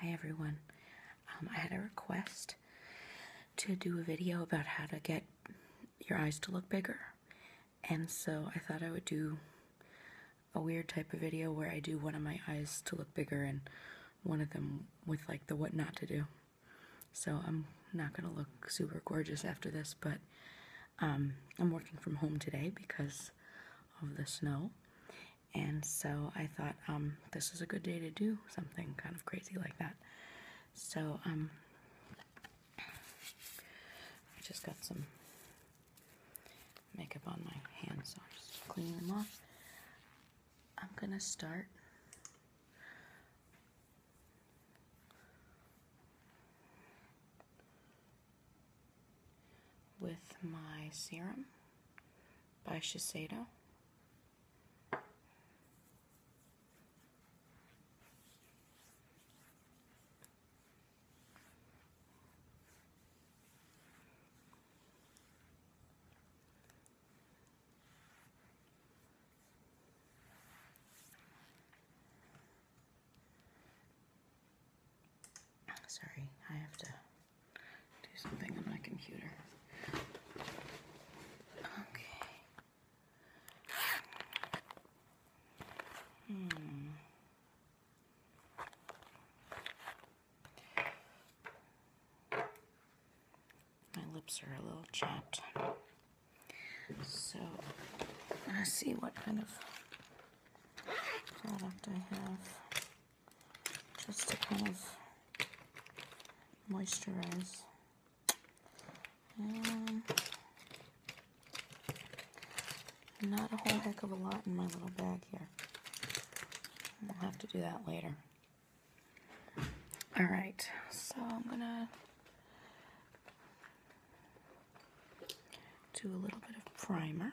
Hi everyone. Um, I had a request to do a video about how to get your eyes to look bigger. And so I thought I would do a weird type of video where I do one of my eyes to look bigger and one of them with like the what not to do. So I'm not going to look super gorgeous after this, but um, I'm working from home today because of the snow. And so I thought um, this is a good day to do something kind of crazy like that. So um, I just got some makeup on my hands, so I'm just cleaning them off. I'm gonna start with my serum by Shiseido. Sorry, I have to do something on my computer. Okay. Hmm. My lips are a little chapped. So, let's see what kind of product I have just to kind of moisturize. Um, not a whole heck of a lot in my little bag here. We'll have to do that later. All right, so I'm gonna do a little bit of primer.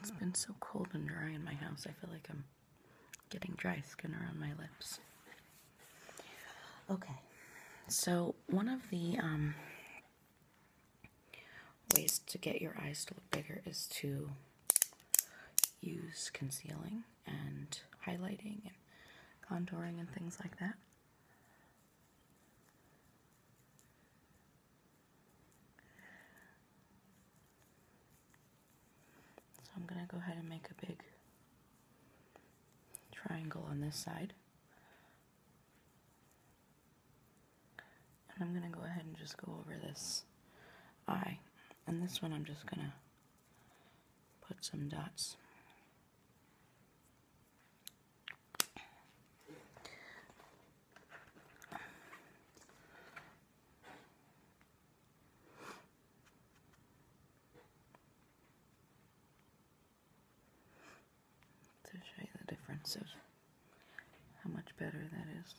It's been so cold and dry in my house, I feel like I'm getting dry skin around my lips. Okay, so one of the um, ways to get your eyes to look bigger is to use concealing and highlighting and contouring and things like that. So I'm going to go ahead and make a big triangle on this side. And I'm going to go ahead and just go over this eye and this one I'm just gonna put some dots. To show you the difference of how much better that is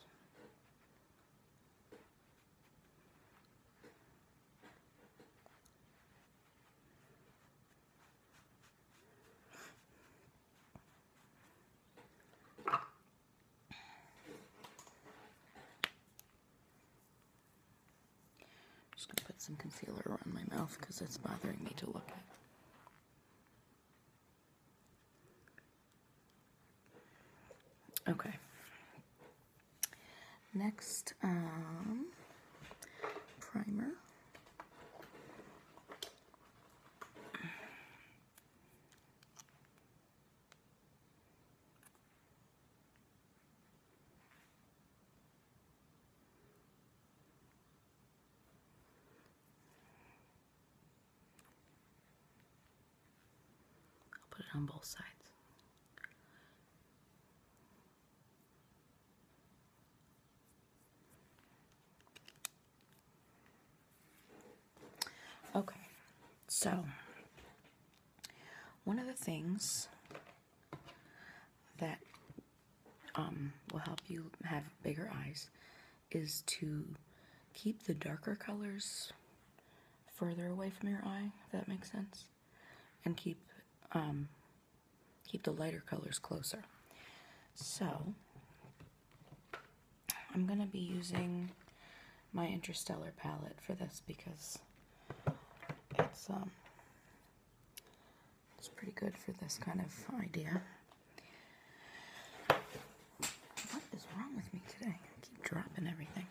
just gonna put some concealer around my mouth because it's bothering me to look at. Okay. Next, um, primer. I'll put it on both sides. Okay, so one of the things that um, will help you have bigger eyes is to keep the darker colors further away from your eye, if that makes sense. And keep um, keep the lighter colors closer. So I'm gonna be using my interstellar palette for this because it's um, it's pretty good for this kind of idea. What is wrong with me today? I keep dropping everything.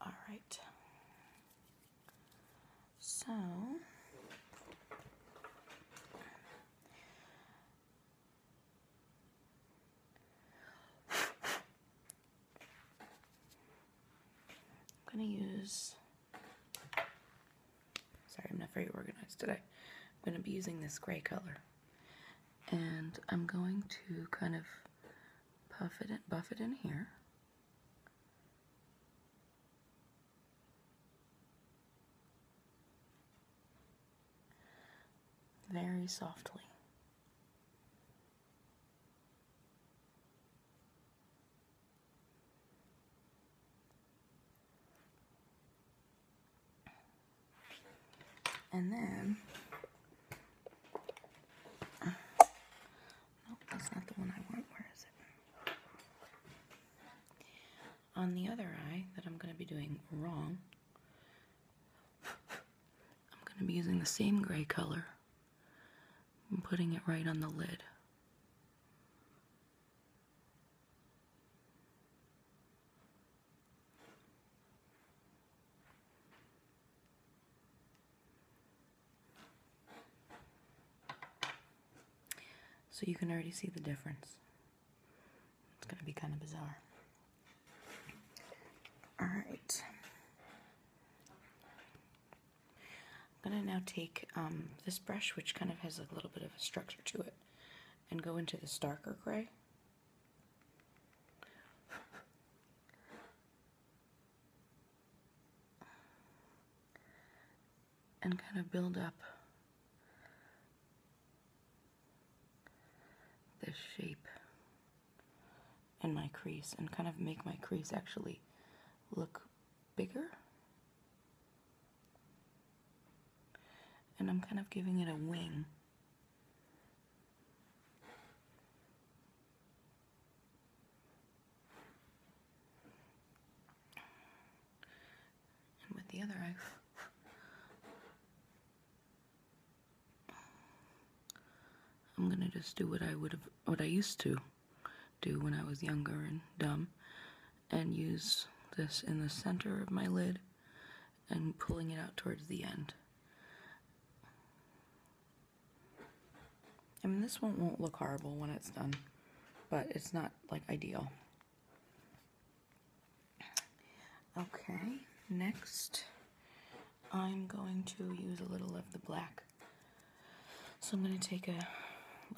All right. So, I'm going to use Sorry, I'm not very organized today. I'm going to be using this gray color. And I'm going to kind of puff it and buff it in here. Very softly. And then, uh, that's not the one I want. Where is it? On the other eye that I'm going to be doing wrong, I'm going to be using the same gray color and putting it right on the lid. So you can already see the difference. It's going to be kind of bizarre. Alright. I'm going to now take um, this brush, which kind of has a little bit of a structure to it, and go into this darker gray. and kind of build up the shape in my crease and kind of make my crease actually look bigger and I'm kind of giving it a wing. And with the other eye, I'm gonna just do what I would have, what I used to do when I was younger and dumb, and use this in the center of my lid and pulling it out towards the end. I mean, this one won't look horrible when it's done, but it's not, like, ideal. Okay, next, I'm going to use a little of the black. So I'm going to take a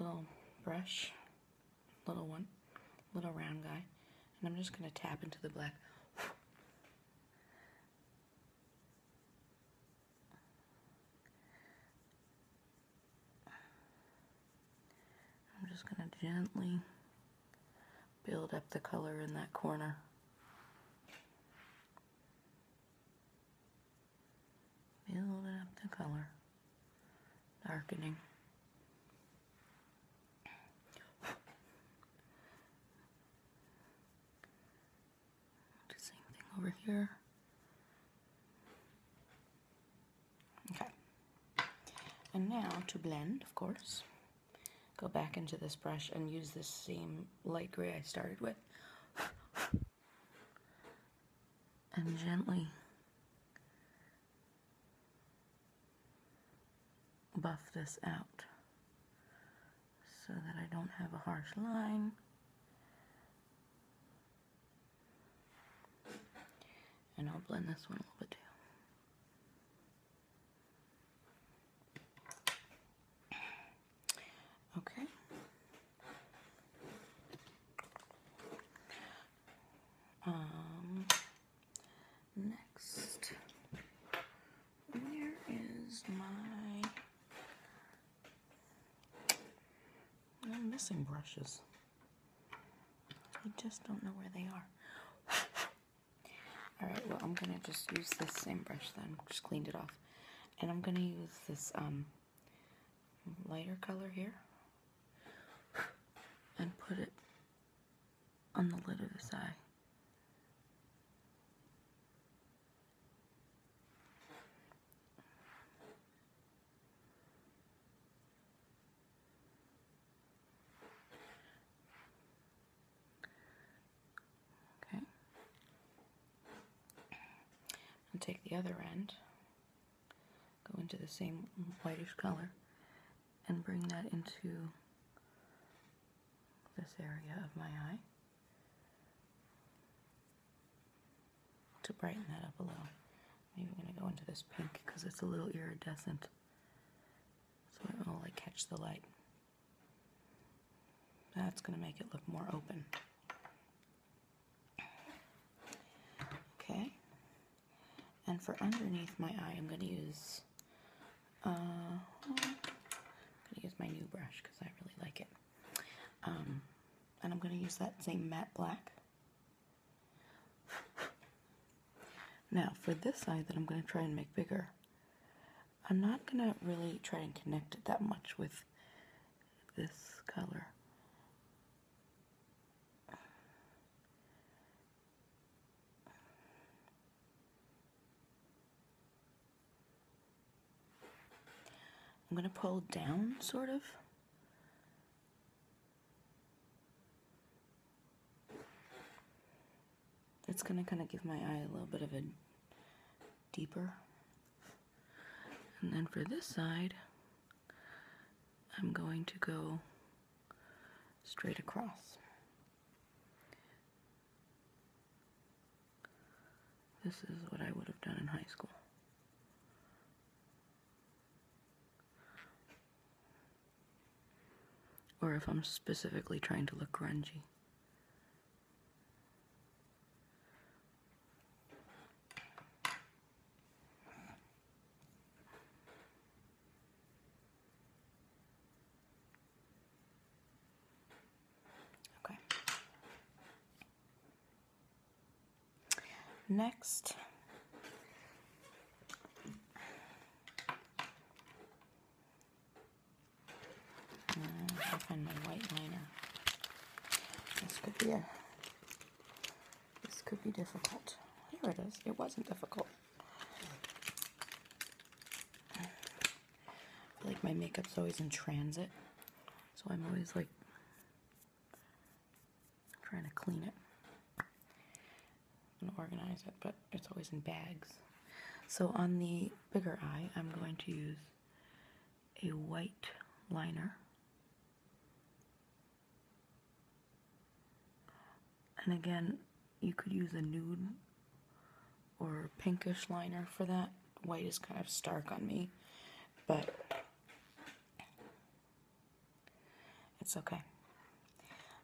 little brush little one, little round guy, and I'm just going to tap into the black. I'm just going to gently build up the color in that corner. Build up the color. Darkening same thing over here. Okay. And now to blend, of course, go back into this brush and use this same light gray I started with. and gently buff this out so that I don't have a harsh line. And I'll blend this one a little bit too. Okay. Um, next, where is my, I'm missing brushes. I just don't know where they are. Alright, well, I'm going to just use this same brush then. Just cleaned it off. And I'm going to use this um, lighter color here and put it on the lid of the eye. Okay. And take the other end go into the same whitish color and bring that into this area of my eye to brighten that up a little. I'm even going to go into this pink because it's a little iridescent so it will like catch the light. That's going to make it look more open. Okay, and for underneath my eye, I'm going to use, uh, going to use my new brush because I really like it. Um, and I'm going to use that same matte black. now, for this eye that I'm going to try and make bigger, I'm not going to really try and connect it that much with this color. I'm going to pull down, sort of. That's going to kind of give my eye a little bit of a deeper. And then for this side, I'm going to go straight across. This is what I would have done in high school. Or if I'm specifically trying to look grungy. Okay. Next, uh, i find my white liner. This could be a this could be difficult. Here it is. It wasn't difficult. like my makeup's always in transit, so I'm always like trying to clean it and organize it, but it's always in bags. So on the bigger eye, I'm going to use a white liner and again, you could use a nude or pinkish liner for that. White is kind of stark on me, but it's okay.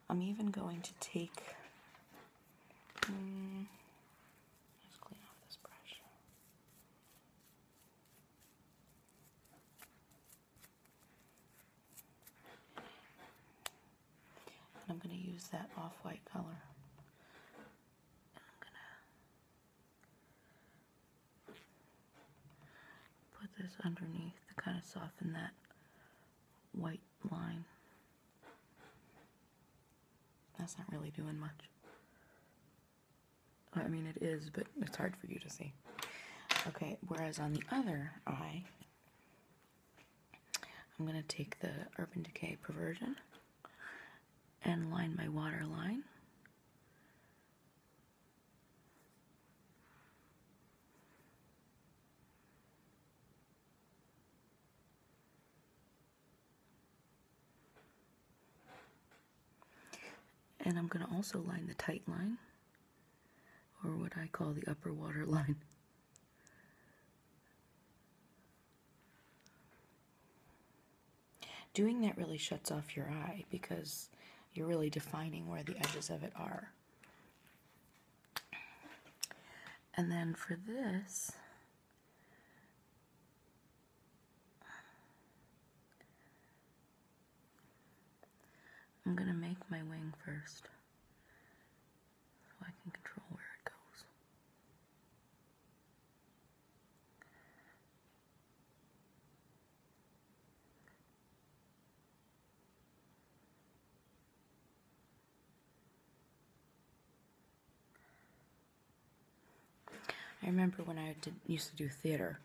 I'm even going to take. Hmm, I'm going to use that off-white color. I'm going to put this underneath to kind of soften that white line. That's not really doing much. I mean, it is, but it's hard for you to see. Okay, whereas on the other eye, I'm going to take the Urban Decay Perversion and line my water line. And I'm going to also line the tight line or what I call the upper water line. Doing that really shuts off your eye because you're really defining where the edges of it are. And then for this, I'm going to make my wing first so I can control where it goes. I remember when I used to do theater,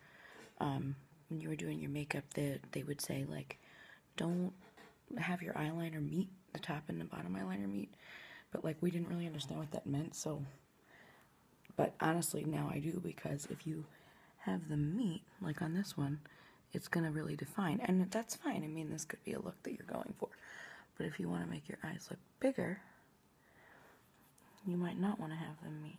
um, when you were doing your makeup that they, would say like don't have your eyeliner meet the top and the bottom eyeliner meet but like we didn't really understand what that meant so but honestly now I do because if you have the meet like on this one it's gonna really define and that's fine I mean this could be a look that you're going for but if you want to make your eyes look bigger you might not want to have them meet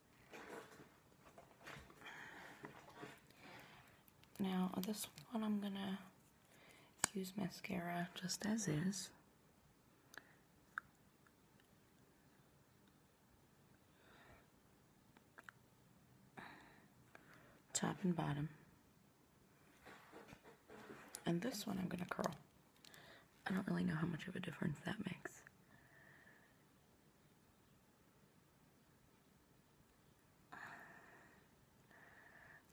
Now, this one I'm gonna use mascara just as is. Top and bottom. And this one I'm gonna curl. I don't really know how much of a difference that makes.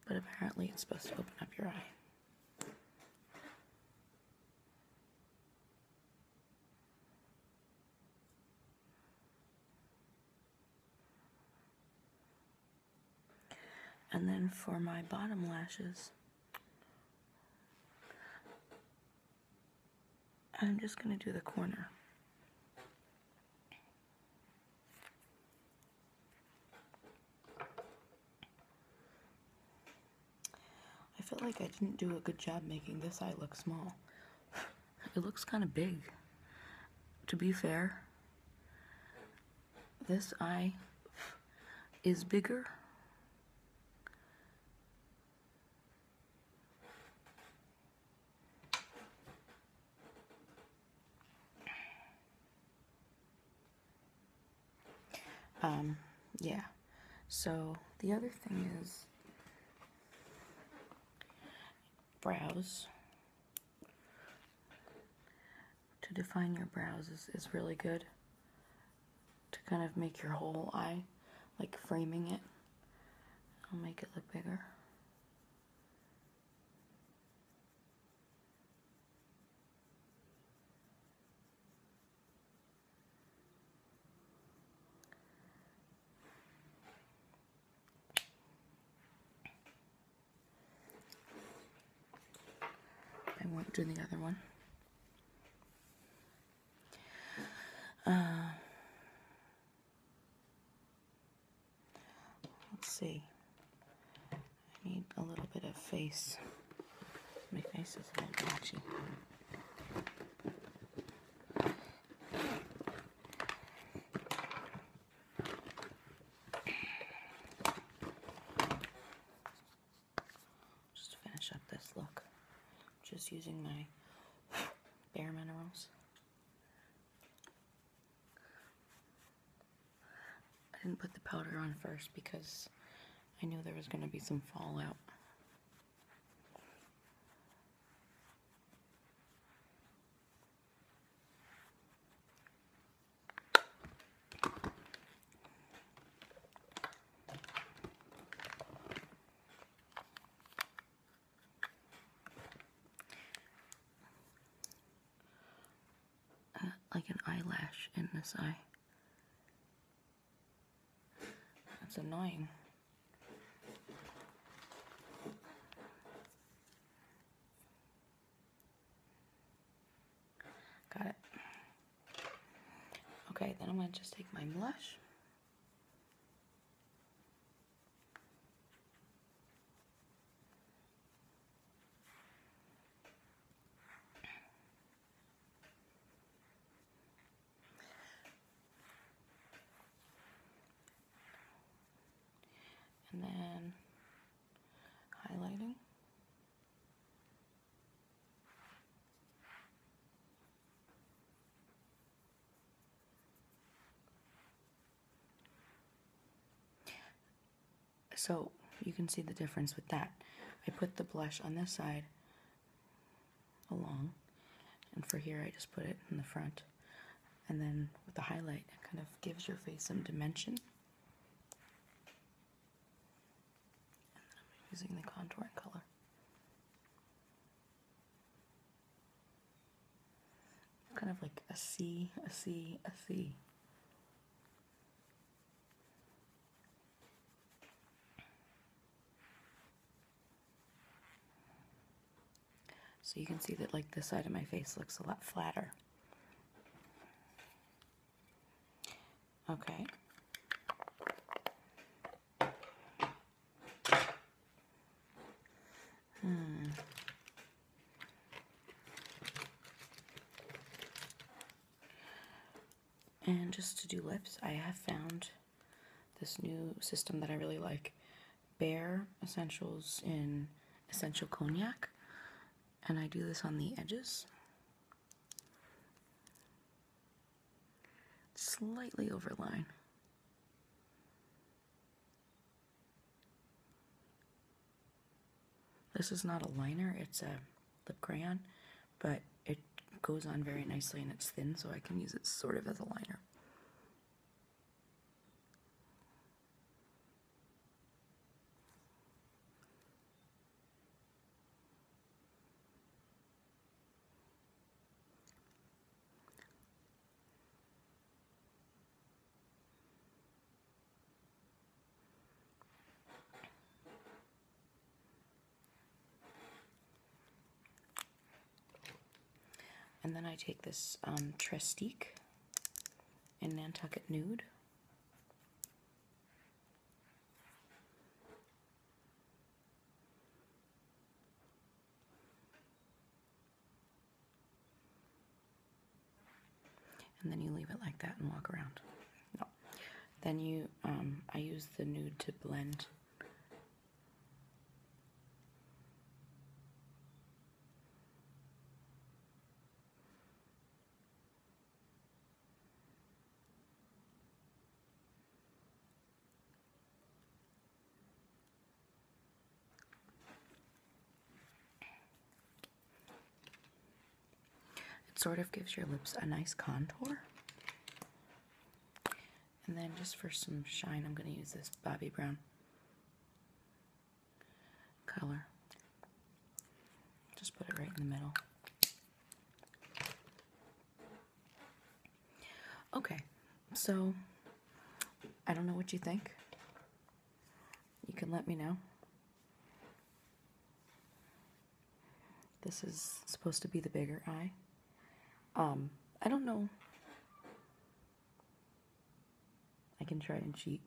But apparently it's supposed to open up your eye. And then for my bottom lashes, I'm just going to do the corner. I feel like I didn't do a good job making this eye look small. It looks kind of big. To be fair, this eye is bigger. Um, yeah. So the other thing is brows. To define your brows is, is really good to kind of make your whole eye like framing it. I'll make it look bigger. I won't do the other one. Uh, Let's see. I need a little bit of face. My face is a little blotchy. Just finish up this look. Just using my Bare Minerals. I didn't put the powder on first because I knew there was going to be some fallout. Uh, like an eyelash in this eye. That's annoying. Got it. Okay, then I'm going to just take my blush and then highlighting so you can see the difference with that. I put the blush on this side along, and for here I just put it in the front. And then with the highlight, it kind of gives your face some dimension. And then I'm using the contour and color. Kind of like a C, a C, a C. So you can see that like this side of my face looks a lot flatter. Okay. Hmm. And just to do lips, I have found this new system that I really like. Bare Essentials in Essential Cognac. And I do this on the edges slightly overline. This is not a liner, it's a lip crayon, but it goes on very nicely and it's thin, so I can use it sort of as a liner. And then I take this um, in Nantucket Nude. And then you leave it like that and walk around. No. Then you, um, I use the nude to blend. It sort of gives your lips a nice contour. And then just for some shine, I'm going to use this Bobbi Brown color. Just put it right in the middle. Okay, so I don't know what you think. You can let me know. This is supposed to be the bigger eye. Um, I don't know. I can try and cheat.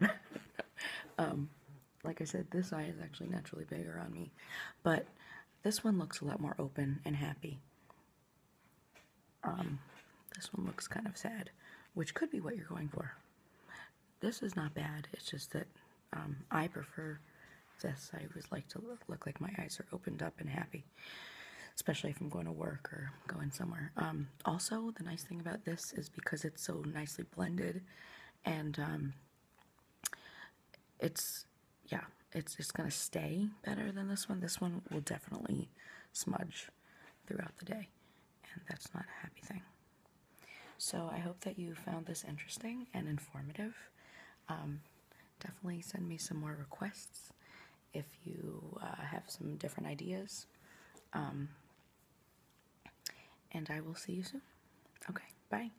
um, like I said, this eye is actually naturally bigger on me, but this one looks a lot more open and happy. Um, this one looks kind of sad, which could be what you're going for. This is not bad, it's just that um, I prefer this. I would like to look, look, like my eyes are opened up and happy, especially if I'm going to work or going somewhere. Um, also, the nice thing about this is because it's so nicely blended and um, it's yeah, it's it's gonna stay better than this one. This one will definitely smudge throughout the day, and that's not a happy thing. So I hope that you found this interesting and informative. Um, definitely send me some more requests if you uh, have some different ideas. Um, and I will see you soon. Okay, bye.